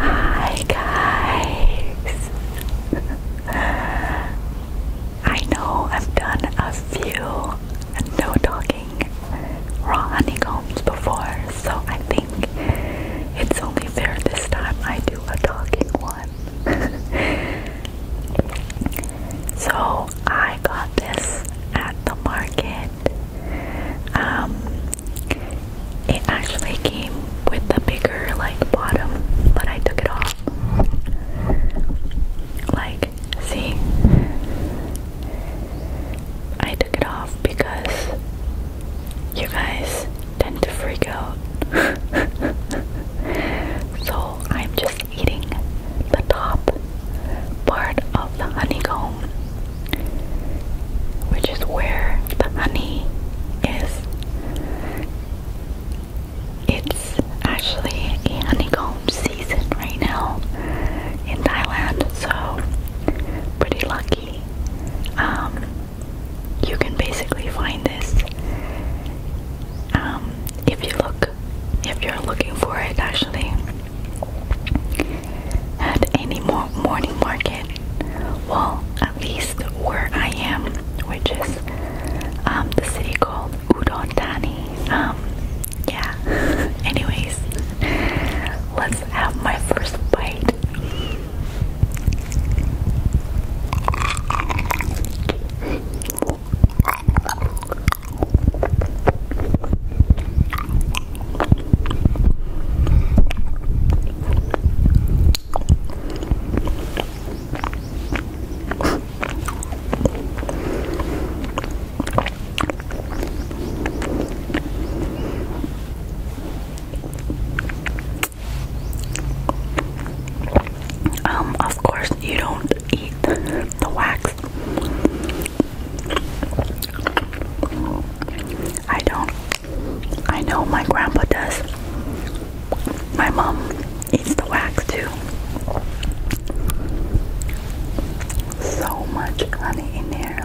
Hi guys! I know I've done a few no talking raw honeycombs before, so I think it's only fair this time I do a talking one. so I got this at the market. Um, it actually came with the bigger like bottom, but I took it off. Like, see, I took it off because you guys tend to freak out. so I'm just eating the top part of the honeycomb, which is where the honey is. It's actually honeycomb season right now in Thailand, so pretty lucky. Um, you can basically find this um, if you look if you're looking for it actually at any more morning market well at least where I am which is um, the city called Udon Thani um, yeah anyways let's have my first bite um, of course, you don't eat the wax I don't. I know my grandpa does. My mom eats the wax too. So much honey in there.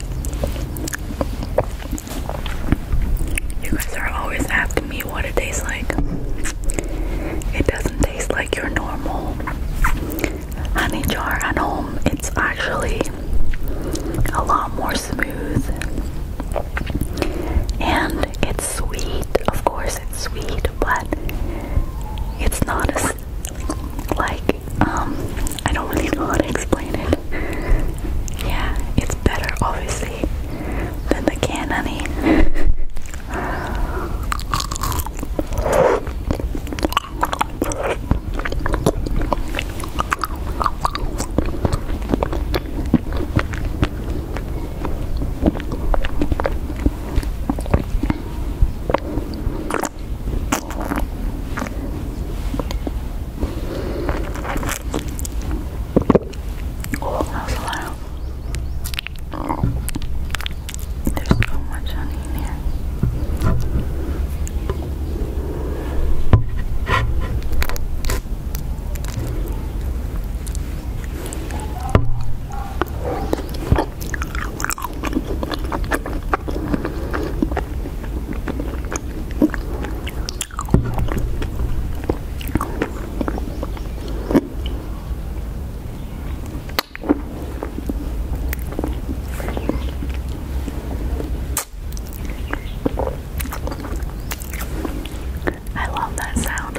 You guys are always asking me what it tastes like. It doesn't taste like your normal honey jar at home. It's actually a lot more smooth. And it's sweet. Of course, it's sweet, but it's not as like um I don't really know how to explain it. Yeah, it's better obviously than the can Oh, that was a lot. Oh. There's so much honey in here. I love that sound.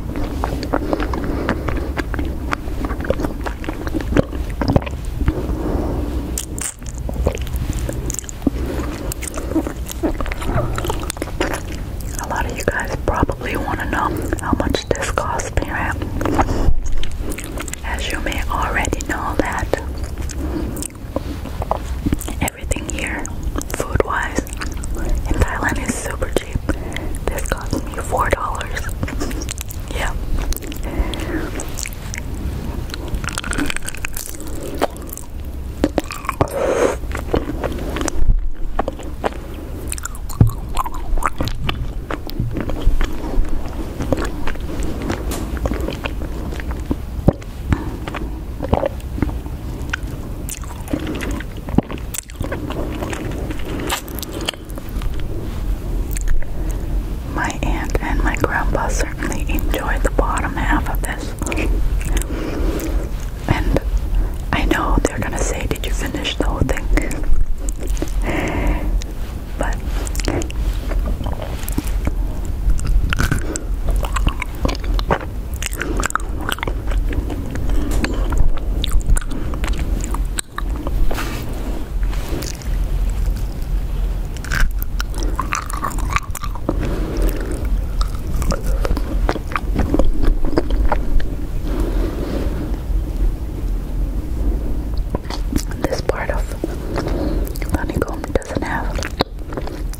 A lot of you guys probably want to know how much this costs me, As you may already know that everything here, food wise, in Thailand is super cheap. This cost me $4. Yeah. My aunt and my grandpa certainly enjoyed the bottom half of this. And I know they're gonna say, Did you finish the whole thing? But this part of honeycomb doesn't have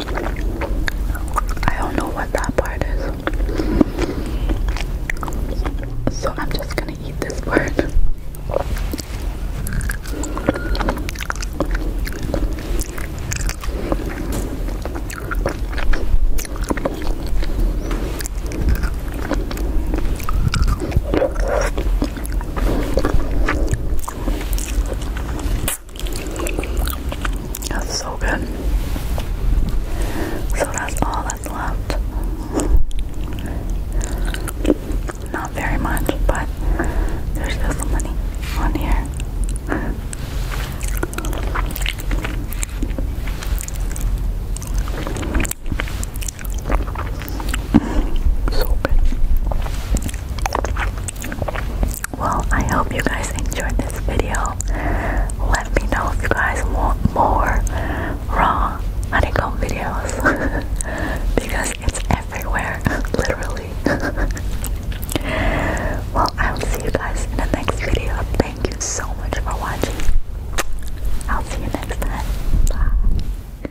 I don't know what that part is. So I'm just gonna eat this part. That's so good. So that's all that's left. Not very much, but there's still some money on here. so good. Well, I hope you guys enjoyed this video. Let me know if you guys want more raw honeycomb videos because it's everywhere, literally. well, I will see you guys in the next video. Thank you so much for watching. I'll see you next time. Bye.